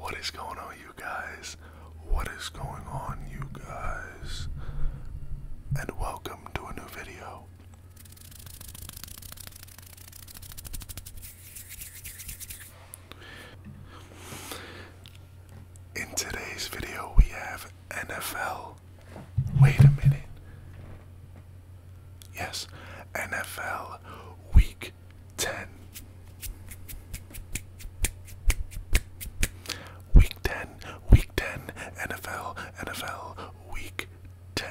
What is going on, you guys? What is going on, you guys? And welcome to a new video. In today's video, we have NFL. Wait a minute. Yes, NFL Week 10. Week 10, week 10, NFL, NFL, week 10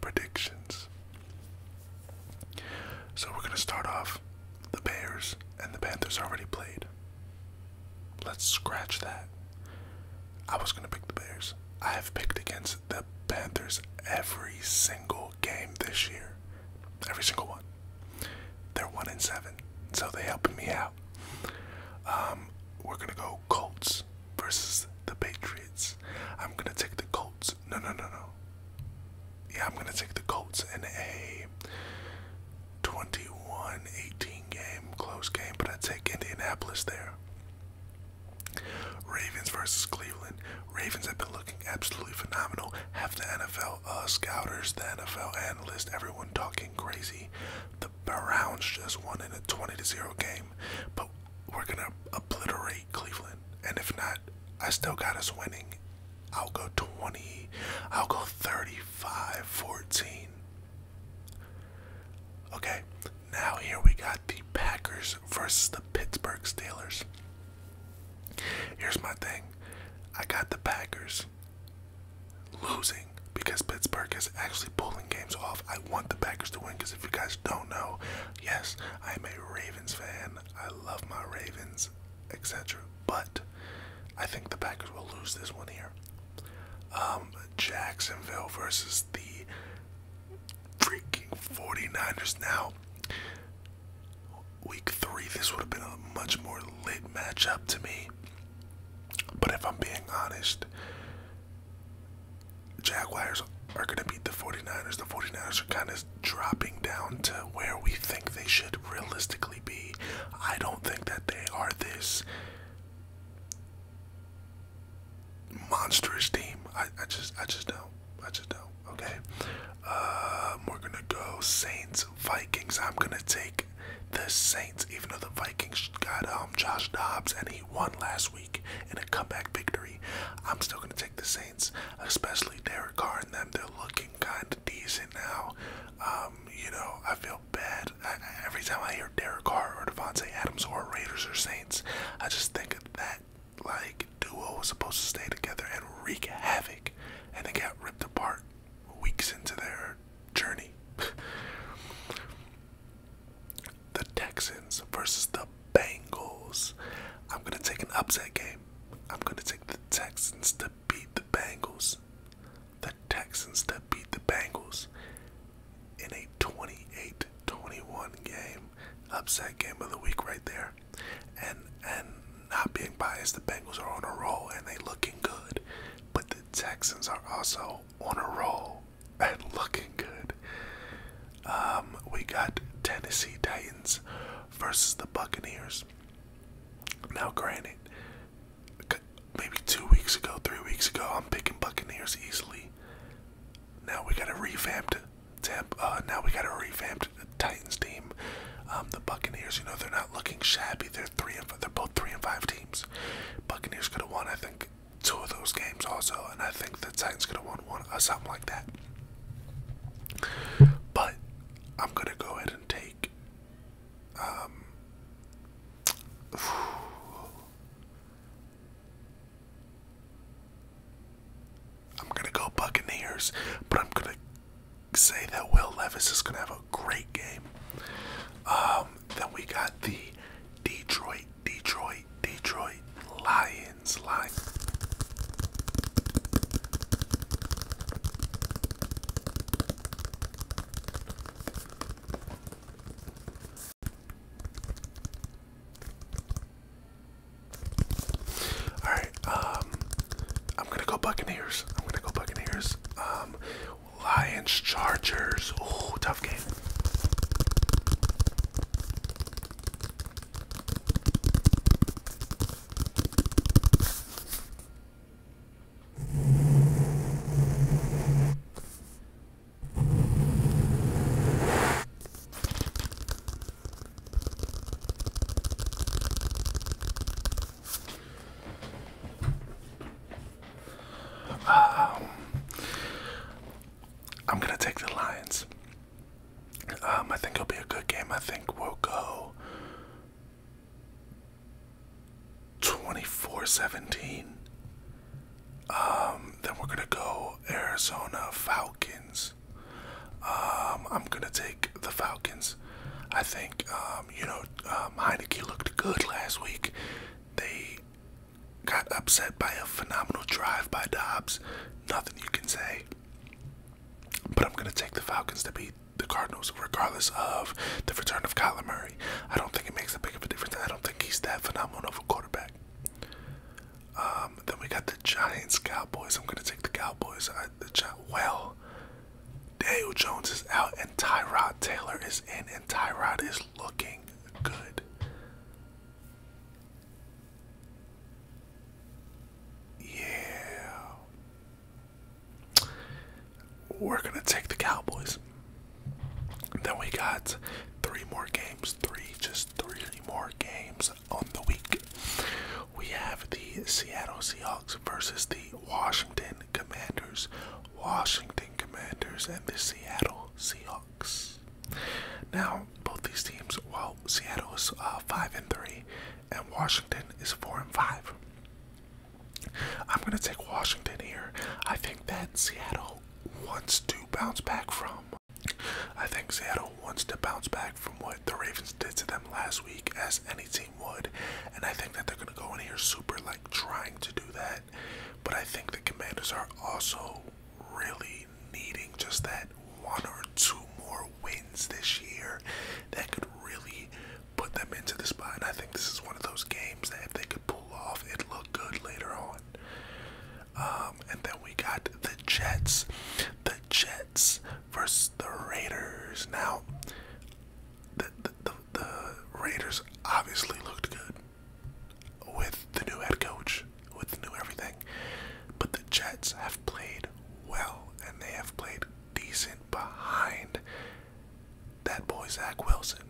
predictions. So we're going to start off. The Bears and the Panthers already played. Let's scratch that. I was going to pick the Bears. I have picked against them. Panthers every single game this year. Every single one. They're one in seven, so they helping me out. Um, we're gonna go Colts versus the Patriots. I'm gonna take the Colts. No, no, no, no. Yeah, I'm gonna take the Colts in a 21-18 game, close game, but I take Indianapolis there. Ravens versus Cleveland. Ravens have been looking absolutely phenomenal. Have the NFL uh, scouters, the NFL analysts, everyone talking crazy. The Browns just won in a 20 to 0 game, but we're going to obliterate Cleveland. And if not, I still got us winning. I'll go 20, I'll go 35 14. Okay, now here we got the Packers versus the Pittsburgh Steelers. Here's my thing. I got the Packers losing because Pittsburgh is actually pulling games off. I want the Packers to win because if you guys don't know, yes, I'm a Ravens fan. I love my Ravens, etc. But I think the Packers will lose this one here. Um, Jacksonville versus the freaking 49ers now. Week three, this would have been a much more lit matchup to me. But if I'm being honest, Jaguars are going to beat the 49ers. The 49ers are kind of dropping down to where we think they should realistically be. I don't think that they are this monstrous team. I, I just I just don't. I just don't. Okay. Uh, we're gonna go Saints Vikings. I'm gonna take the Saints, even though the Vikings got um Josh Dobbs and he won last week in a comeback victory. I'm still gonna take the Saints, especially Derek Carr and them. They're looking kind of decent now. Um, you know, I feel bad every time I hear Derek Carr or Devonte Adams or Raiders or Saints, I just think that like duo was supposed to stay together and wreak havoc, and they got ripped apart weeks into their journey. the Texans versus the Bengals. I'm gonna take an upset game. I'm gonna take the Texans to beat the Bengals the Texans that beat the Bengals in a 28 21 game. Upset game of the week right there. And and not being biased, the Bengals are on a roll and they looking good. But the Texans are also on a roll and looking good. Um, we got Tennessee Titans versus the Buccaneers. Now, granted, maybe two weeks ago, three weeks ago, I'm picking Buccaneers easily. Now we got a revamped uh, now we got a revamped Titans team. Um, the Buccaneers, you know, they're not looking shabby. They're three they're both three and five teams. Buccaneers could have won, I think, two of those games also, and I think the Titans could have won one or uh, something like that. But I'm gonna go ahead and take. Um, I'm gonna go Buccaneers, but I'm gonna say that Will Levis is gonna have a great game. Um, then we got the Detroit, Detroit, Detroit Lions, line. All right, um, I'm gonna go Buccaneers. I'm gonna go Buccaneers. Um, Lions, Chargers. Oh, tough game. Um, I'm gonna take the Lions. Um, I think it'll be a good game. I think we'll go 24-17. Um, then we're gonna go Arizona Falcons. Um, I'm gonna take the Falcons. I think um, you know um, Heineke looked good last week. They got upset by a phenomenal drive by Dobbs. Nothing you can say. But I'm going to take the Falcons to beat the Cardinals, regardless of the return of Kyler Murray. I don't think it makes a big of a difference. I don't think he's that phenomenal of a quarterback. Um, then we got the Giants, Cowboys. I'm going to take the Cowboys. I, the Gi well, Daniel Jones is out, and Tyrod Taylor is in, and Tyrod is looking good. Yeah we're gonna take the Cowboys. Then we got three more games, three, just three more games on the week. We have the Seattle Seahawks versus the Washington Commanders. Washington Commanders and the Seattle Seahawks. Now, both these teams, well, Seattle is uh, five and three, and Washington is four and five. I'm gonna take Washington here. I think that Seattle wants to bounce back from. I think Seattle wants to bounce back from what the Ravens did to them last week, as any team would, and I think that they're gonna go in here super like trying to do that. But I think the Commanders are also really needing just that one or two more wins this year that could really put them into the spot. And I think this is one of those games that if they could pull off, it'd look good later on. Um, and then we got the Jets. The Jets versus the Raiders. Now, the, the, the Raiders obviously looked good with the new head coach with new everything. But the Jets have played well and they have played decent behind that boy Zach Wilson.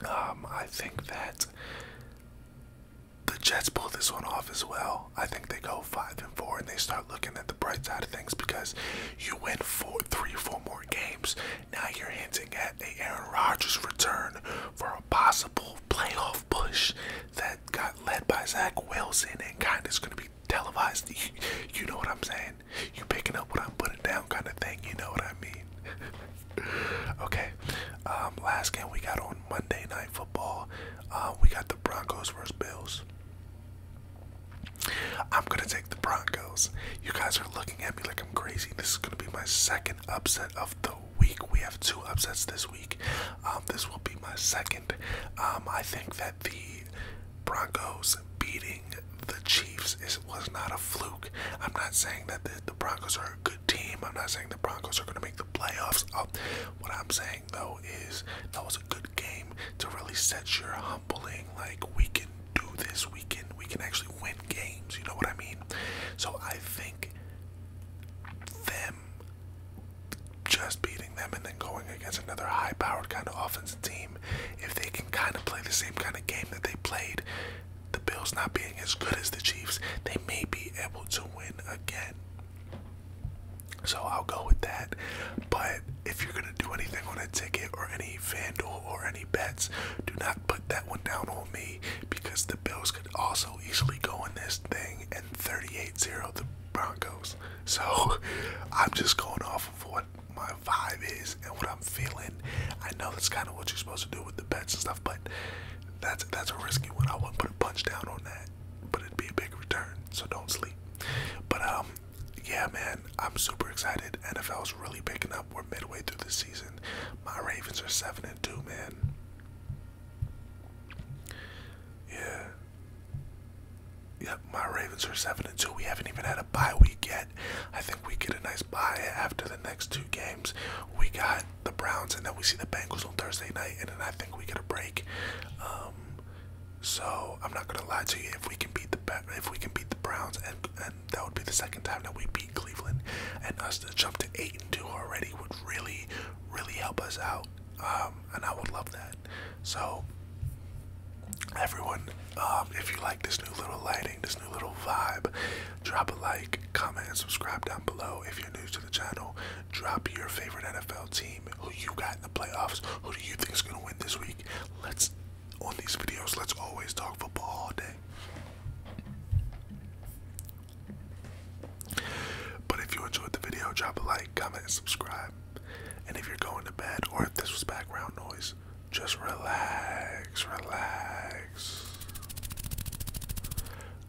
Um, I think that the Jets pull this one off as well. I think they go five and four and they start looking at the bright side of things because you win four, three, four more games. Now you're hinting at a Aaron Rodgers return for a possible playoff Bush that got led by Zach Wilson and kind of going to be televised. You, know what I'm saying? You picking up what I'm putting down kind of thing. You know what I mean? okay. Um, last game we got on Monday Night Football. Uh, we got the Broncos versus Bills. I'm gonna take the Broncos. You guys are looking at me like I'm crazy. This is gonna be my second upset of the week. We have two upsets this week. Um, this will be my second. Um, I think that the Broncos beating the Chiefs is, was not a fluke. I'm not saying that the, Broncos are a good team. I'm not saying the Broncos are going to make the playoffs. Uh, what I'm saying though is that was a good game to really set your humbling. Like we can do this. We can we can actually win games. You know what I mean? So I think them just beating them and then going against another high powered kind of offensive team, if they can kind of play the same kind of game that they played, the Bills not being as good as the Chiefs, they may be able to win again. So I'll go with that. But if you're going to do anything on a ticket or any Vandal or any bets, do not put that one down on me because the Bills could also easily go in this thing and 38-0 the Broncos. So I'm just going off of what my vibe is and what I'm feeling. I know that's kind of what you're supposed to do with the bets and stuff, but that's that's a risky one. I wouldn't put a punch down on that, but it'd be a big return. So don't sleep. But um, yeah, man, I'm super excited. NFL's really picking up. We're midway through the season. My Ravens are seven and two, man. Yeah. Yep, my Ravens are seven and two. We haven't even had a buy. We get. I think we get a nice buy after the next two games. We got the Browns, and then we see the Bengals on Thursday night, and then I think we get a break. Um, so I'm not gonna lie to you. If we can beat the if we can beat the Browns and that would be the second time that we beat Cleveland, and us to jump to eight and two already would really, really help us out. Um, and I would love that. So, everyone, um, if you like this new little lighting, this new little vibe, drop a like, comment, and subscribe down below. If you're new to the channel, drop your favorite NFL team, who you got in the playoffs, who do you think is going to win this week. Let's on these videos. Let's always talk football all day. But if you enjoyed the video, drop a like, comment, and subscribe. And if you're going to bed or if this was background noise, just relax, relax.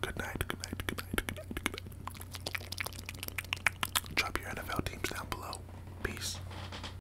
Good night, good night, good night, good night, good night. Drop your NFL teams down below. Peace.